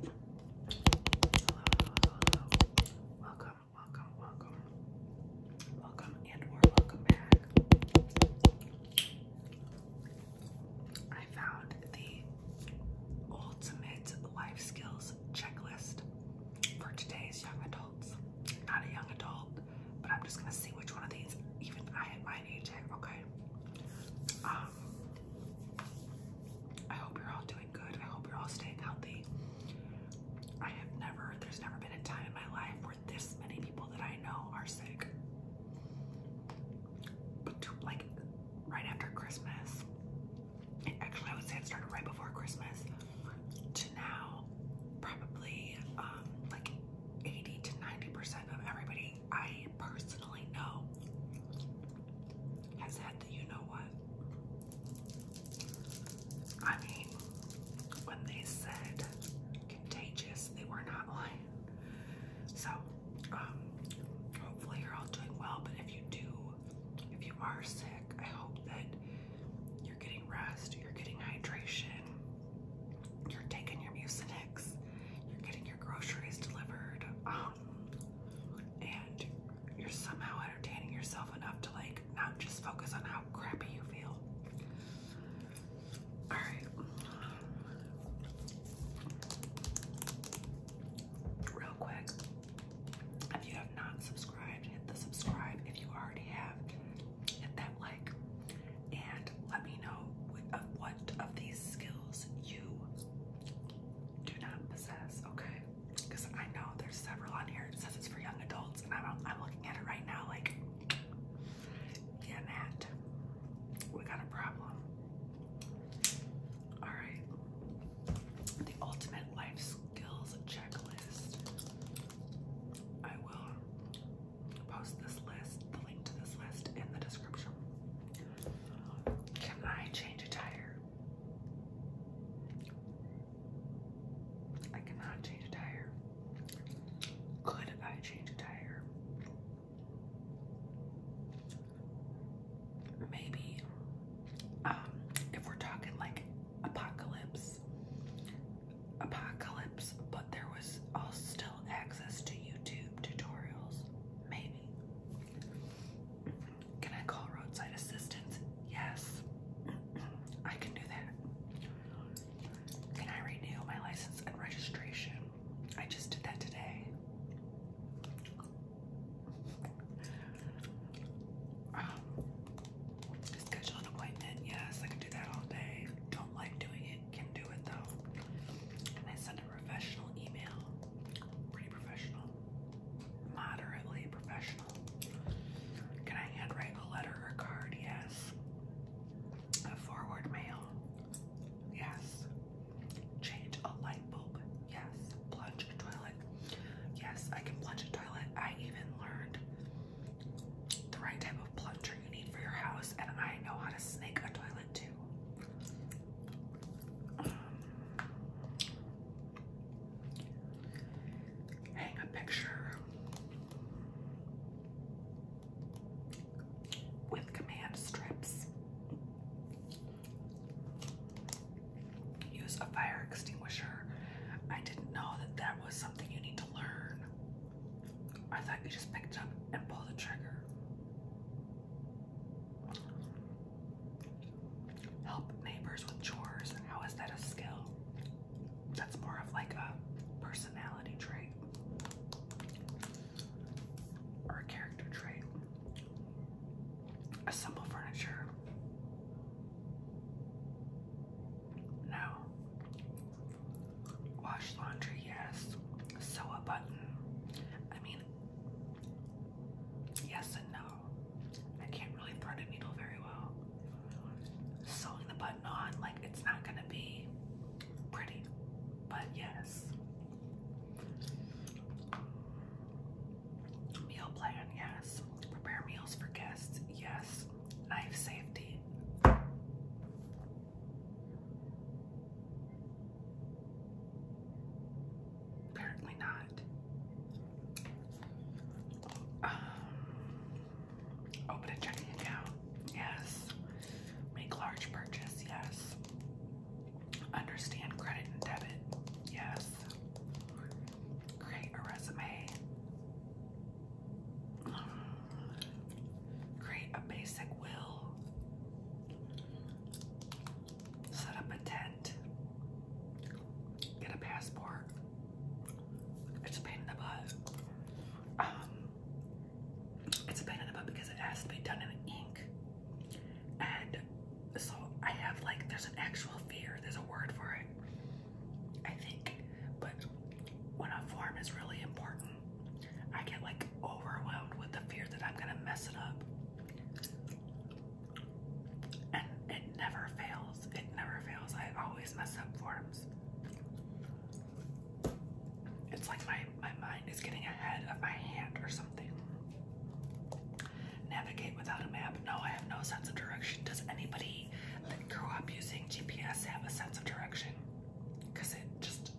Hello, hello, hello. Welcome, welcome, welcome. Welcome and or welcome back. I found the ultimate life skills checklist for today's young adults. Not a young adult, but I'm just gonna see which one of these even I at my age have, okay? Um I hope you're all doing good. I hope you're all staying healthy. I have never, there's never been a time in my life where this many people that I know are sick. like right after Christmas, actually I would say it started right before Christmas, to now, probably um, like 80 to 90% of everybody I personally know has had the you know what. I mean, when they said contagious, they were not lying. So, um, hopefully you're all doing well, but if you do, if you are sick, I hope that you're getting rest, you're getting hydration, you're taking your mucinex, you're getting your groceries delivered. Um, and you're somehow entertaining yourself enough to like not just focus on how crappy you feel. All right. Real quick, if you have not subscribed, hit the subscribe. If you already have, hit that like. And let me know what of, these skills you do not possess, okay? Because I know there's several on here. It says it's for young adults, and I'm, I'm looking at it right now like, yeah, Nat, we got a problem. All right. The ultimate life skills checklist. I will post this list, the link to this list in the description. Can I change a tire? I cannot change a tire. Could I change a tire? Maybe. Um, if we're talking like apocalypse, apocalypse, but there was uh, still access to YouTube tutorials, maybe. Can I call roadside assistance? Yes. I can do that. Can I renew my license and registration? I just did that today. Um, schedule an appointment. Yes, I can do that all day. Don't like doing it. Can do it though. Can I send a professional email? professional. Moderately professional. Can I handwrite a letter or card? Yes. forward mail? Yes. Change a light bulb? Yes. Plunge a toilet? Yes, I can plunge a toilet. I even learned the right type of plunger you need for your house, and I know how to snake a toilet too. Hang a picture with command strips. Use a fire extinguisher. I didn't know that that was something you need to learn. I thought you just picked up and pulled the trigger. Help neighbors with chores. How is that a skill? That's more of like a personality trait or a character trait. Assemble furniture. No. Wash laundry, yes. Sew a button. I mean, Yes and no. I can't really thread a needle very well. Sewing the button on, like, it's not gonna be pretty, but yes. Meal plan, yes. Prepare meals for guests, yes. Knife safety. Apparently not. Um, open a checking account. Yes. Make large purchase. Yes. Understand credit and debit. Yes. Create a resume. Create a basic will set up a tent, get a passport. It's a pain in the butt. Um, it's a pain in the butt because it has to be done in ink. And so I have like, there's an actual fear, there's a word for it, I think. But when a form is really important, I get like overwhelmed with the fear that I'm gonna mess it up. And it never fails. It never fails. I always mess up forms. It's like my, my mind is getting ahead of my hand or something. Navigate without a map. No, I have no sense of direction. Does anybody that grew up using GPS have a sense of direction? Because it just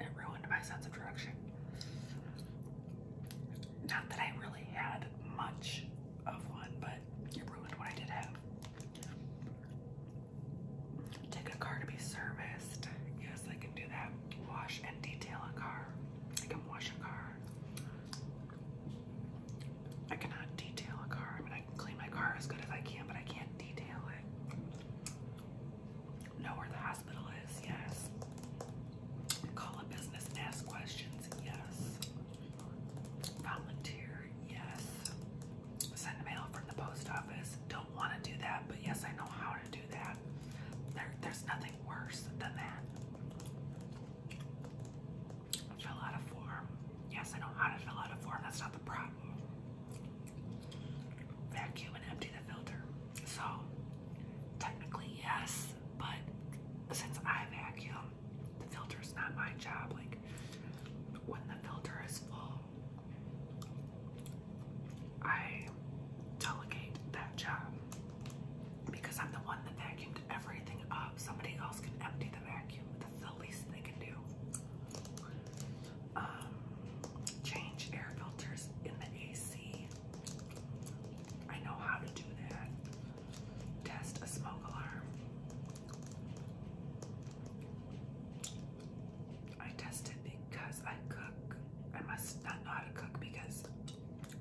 it ruined my sense of direction. Not that I really had much of one, but it ruined what I did have. Take a car to be serviced. Yes, I can do that. Wash and detail a car. I can wash a car. I cannot detail a car. I mean, I can clean my car as good as I can, but I can't detail it. Know where the hospital is, yes. Call a business ask questions, yes. Volunteer, yes. Send mail from the post office. Don't want to do that, but yes, I know how to do that. There, there's nothing worse than that. Fill out a form. Yes, I know how to fill out a form. That's not the problem. Vacuum and empty the filter. So, technically, yes, but since I vacuum, the filter is not my job. Like when the filter is full, I delegate that job because I'm the one that vacuumed everything up. Somebody else can empty the vacuum. That's the least they can do. Um, change air filters in the AC. I know how to do that. Test a smoke alarm. I test it because I cook. I must not know how to cook because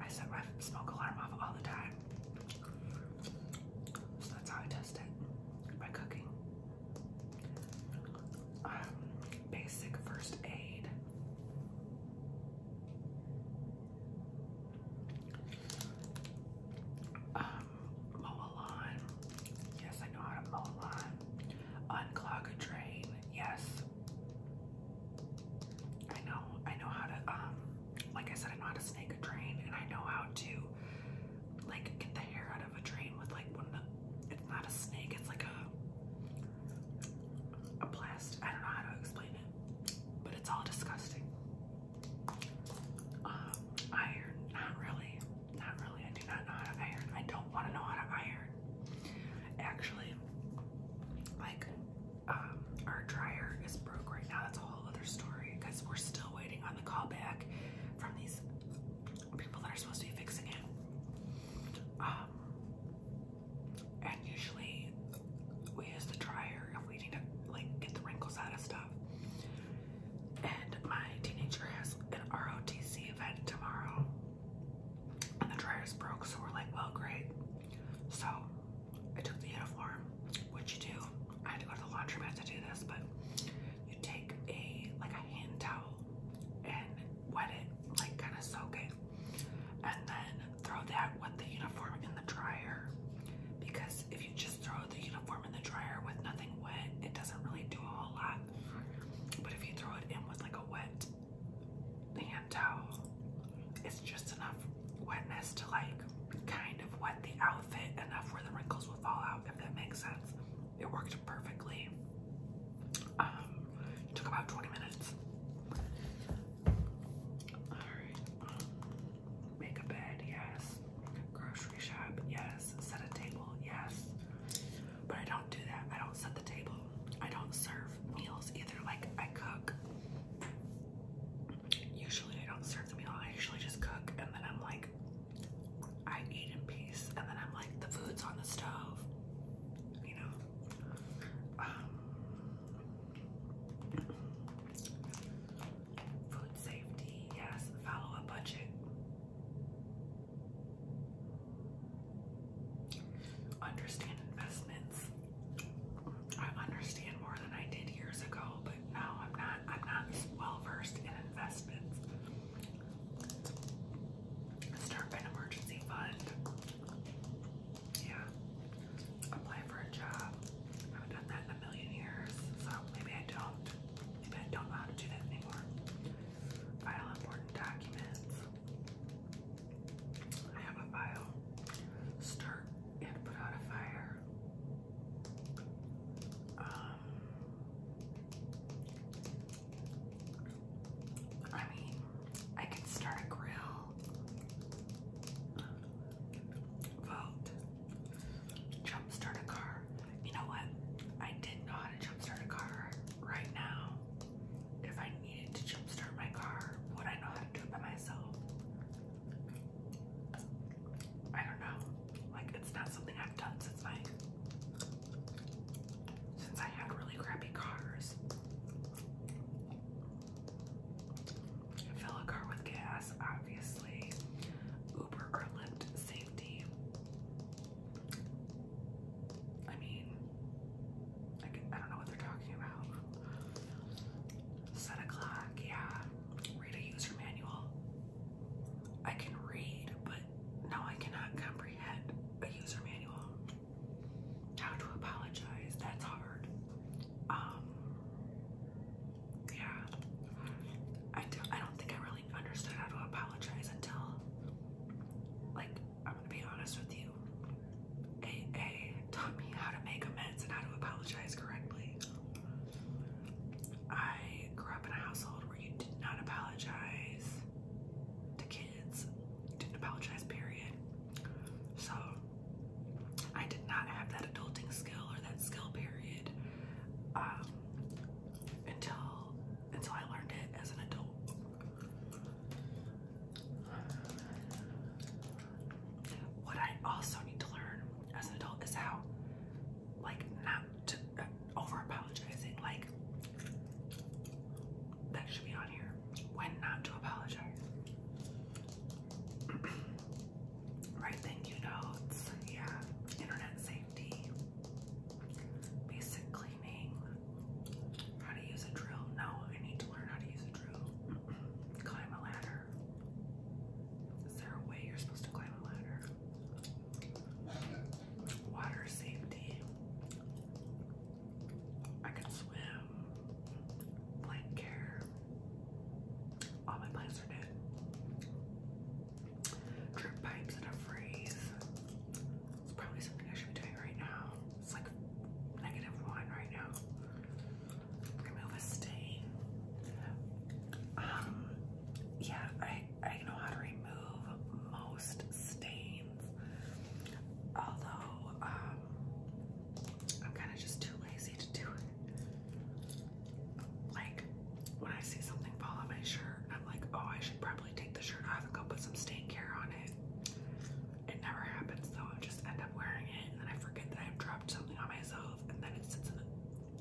I set my smoke alarm off all the time. So that's how I test it by cooking. Um, basic first aid. Um, mow a lawn. Yes, I know how to mow a lawn. Unclog a drain. Yes. I know. I know how to, um, like I said, I know how to snake a drain and I know how to, like, get the hair out of a drain with, like, one of the, it's not a snake, it's like a, a plastic, I don't know how to explain it but it's all disgusting. Um, iron, not really, not really. I do not know how to iron. I don't want to know how to iron. Actually, like, um, our dryer is broke right now. That's a whole other story because we're still waiting on the call from these people that are supposed to be fixing it. Um, and usually we use the dryer if we need to like get the wrinkles out of stuff. And my teenager has an ROTC event tomorrow, and the dryer's broke, so we're like, well, great. So I took the uniform, which you do. I had to go to the laundromat to do this, but you take a like a hand towel and wet it, like kind of soak it, and then throw that with the uniform in the dryer because if you just throw the uniform in the dryer with nothing wet, it doesn't really do a whole lot. But if you throw it in with like a wet hand towel, it's just enough wetness to like kind of wet the outfit enough where the wrinkles will fall out, if that makes sense. It worked perfectly. Um, took about 20 minutes. Um, make a bed, yes. Grocery shop, yes. Set a table, yes. But I don't do that. I don't set the table. I don't serve meals either. Like, I cook. Usually, I don't serve the meal. I usually just cook and then I'm like, I eat in peace. And then I'm like, the food's on the stove. You know? Um, Food safety, yes, follow a budget. Understand investments. I understand more than I did years ago, but now I'm not I'm not well versed in investments. Start an emergency fund yeah, apply for a job. I haven't done that in a million years, so maybe I don't. Maybe I don't know how to do that anymore. File important documents. I have a file. Start and put out a fire. Um, I mean, I could start a grill vote. Jump start a car. You know what? I did know how to jump start a car. Right now, if I needed to jump start my car, would I know how to do it by myself? I don't know. Like it's not something I've done since my since I had really crappy cars. Fill a car with gas, obviously. Uber or Lyft safety. I mean, I, don't know what they're talking about. Set a yeah. Read a user manual. I can read, but no, I cannot comprehend a user manual. How to apologize, that's hard um, yeah, I do. I don't think I really understood how to apologize until, like, I'm gonna be honest with you. AA taught me how to make amends and how to apologize correctly. I grew up in a household where you did not apologize to kids, didn't apologize, period. So I did not have that adulting skill or that skill period um, until until I learned it as an adult. What I also need to learn as an adult is how, like, not uh, over apologizing. Like, that should be on here. When not to apologize. Right, notes. Yeah, internet safety, basic cleaning, how to use a drill. No, I need to learn how to use a drill. climb a ladder. Is there a way you're supposed to climb a ladder? Water safety. I can swim. Blank care. All my plants are dead. Drip pipes in freeze. It's probably something I should be doing right now. It's like negative one right now. Remove a stain. Um, yeah, I I know how to remove most stains. Although, um, I'm kind of just too lazy to do it. Like, when I see something fall on my shirt, I'm like, oh, I should probably take the shirt off and go put some stain care on it. It never happens though. I just end up wearing it and then I forget that i dropped something on myself and then it sits in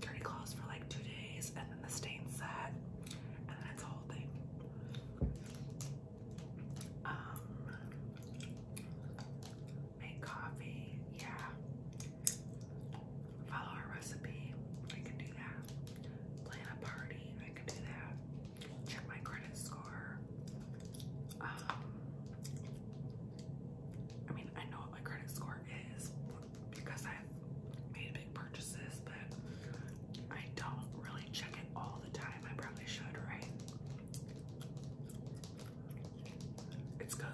dirty clothes for like two days and then the stain set and then it's whole thing. Um, make coffee. Yeah. Follow a recipe. I can do that. Plan a party. I can do that. Check my credit score. Um, I mean, I know what my credit score is because i made big purchases, but I don't really check it all the time. I probably should, right? It's good.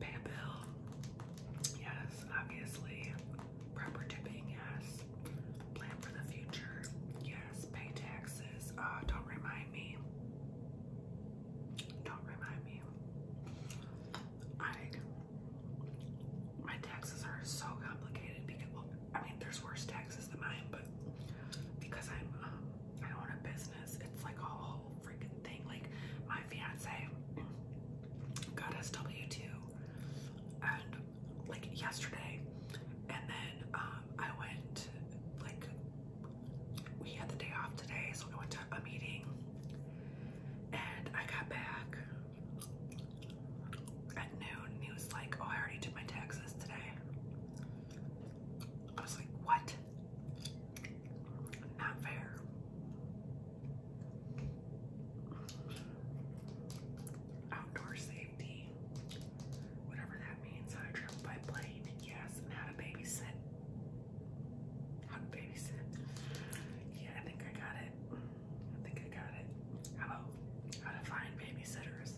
Pay a bill. Yes, obviously. Proper tipping, yes. Plan for the future. Yes. Pay taxes. Ah, don't remind me. Don't remind me. I my taxes are so complicated because well, I mean there's worse taxes than mine, but because I'm um, I own a business. It's like a whole freaking thing. Like my fiance got SW2 and like yesterday and then um I went like we had the day off today so I went to a meeting and I got back at noon and he was like, Oh, I already did my taxes today. I was like, what? Not fair. Outdoor safety, whatever that means. How to by plane, yes, and how to babysit. How to babysit. Yeah, I think I got it. I think I got it. How about how to find babysitters?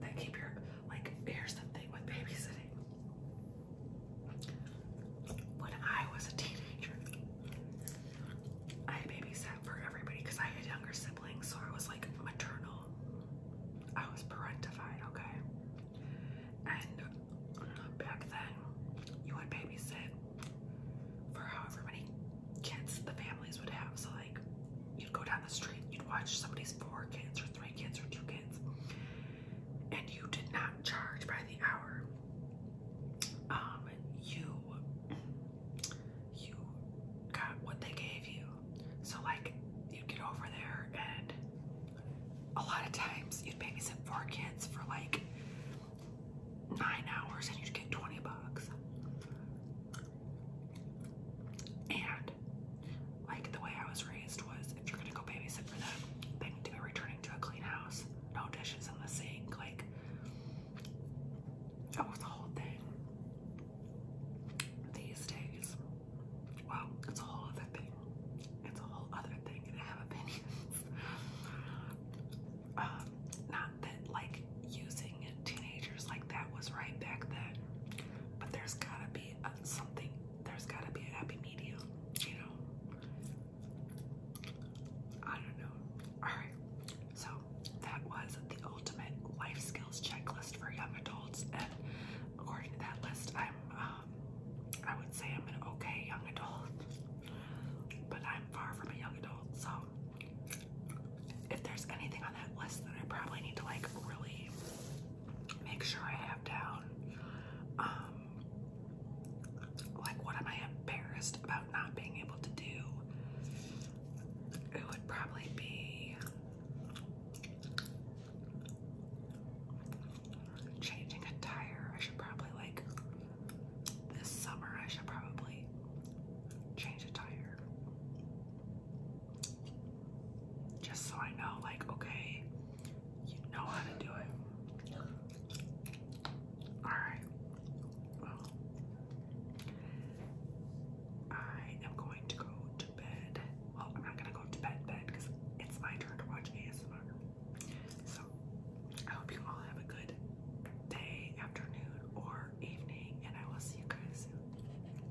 They keep your like here's the thing with babysitting. When I was a teenager, I babysat for everybody because I had younger siblings, so I was like maternal. I was parentified, okay? And back then, you would babysit for however many kids the families would have. So, like you'd go down the street, you'd watch somebody's four kids or three kids or two kids, and you did not charge by the hour. Um, you you got what they gave you. So like you'd get over there and a lot of times you'd babysit four kids for like nine hours and you'd get 20 bucks. And like the way I was raised was if you're gonna go babysit for them, they need to be returning to a clean house, no dishes in the sink, like that was the whole thing. These days, well, it's a whole other thing. It's a whole other thing, and I have opinions. um, not that like using teenagers like that was right back then, but there's gotta be something, there's gotta be a happy medium, you know? I don't know. Alright, so that was the ultimate life skills checklist for young adults. And according to that list, I'm, um, I would say I'm an okay young adult, but I'm far from a young adult. So if there's anything on that list that I probably need to like really make sure I have down um like what am I embarrassed about not being able to do? It would probably be changing a tire. I should probably like this summer I should probably change a tire. Just so I know, like, okay, you know how to do it. Alright. Well, I am going to go to bed. Well, I'm not going to go to bed, bed, because it's my turn to watch ASMR. So, I hope you all have a good day, afternoon, or evening, and I will see you guys soon.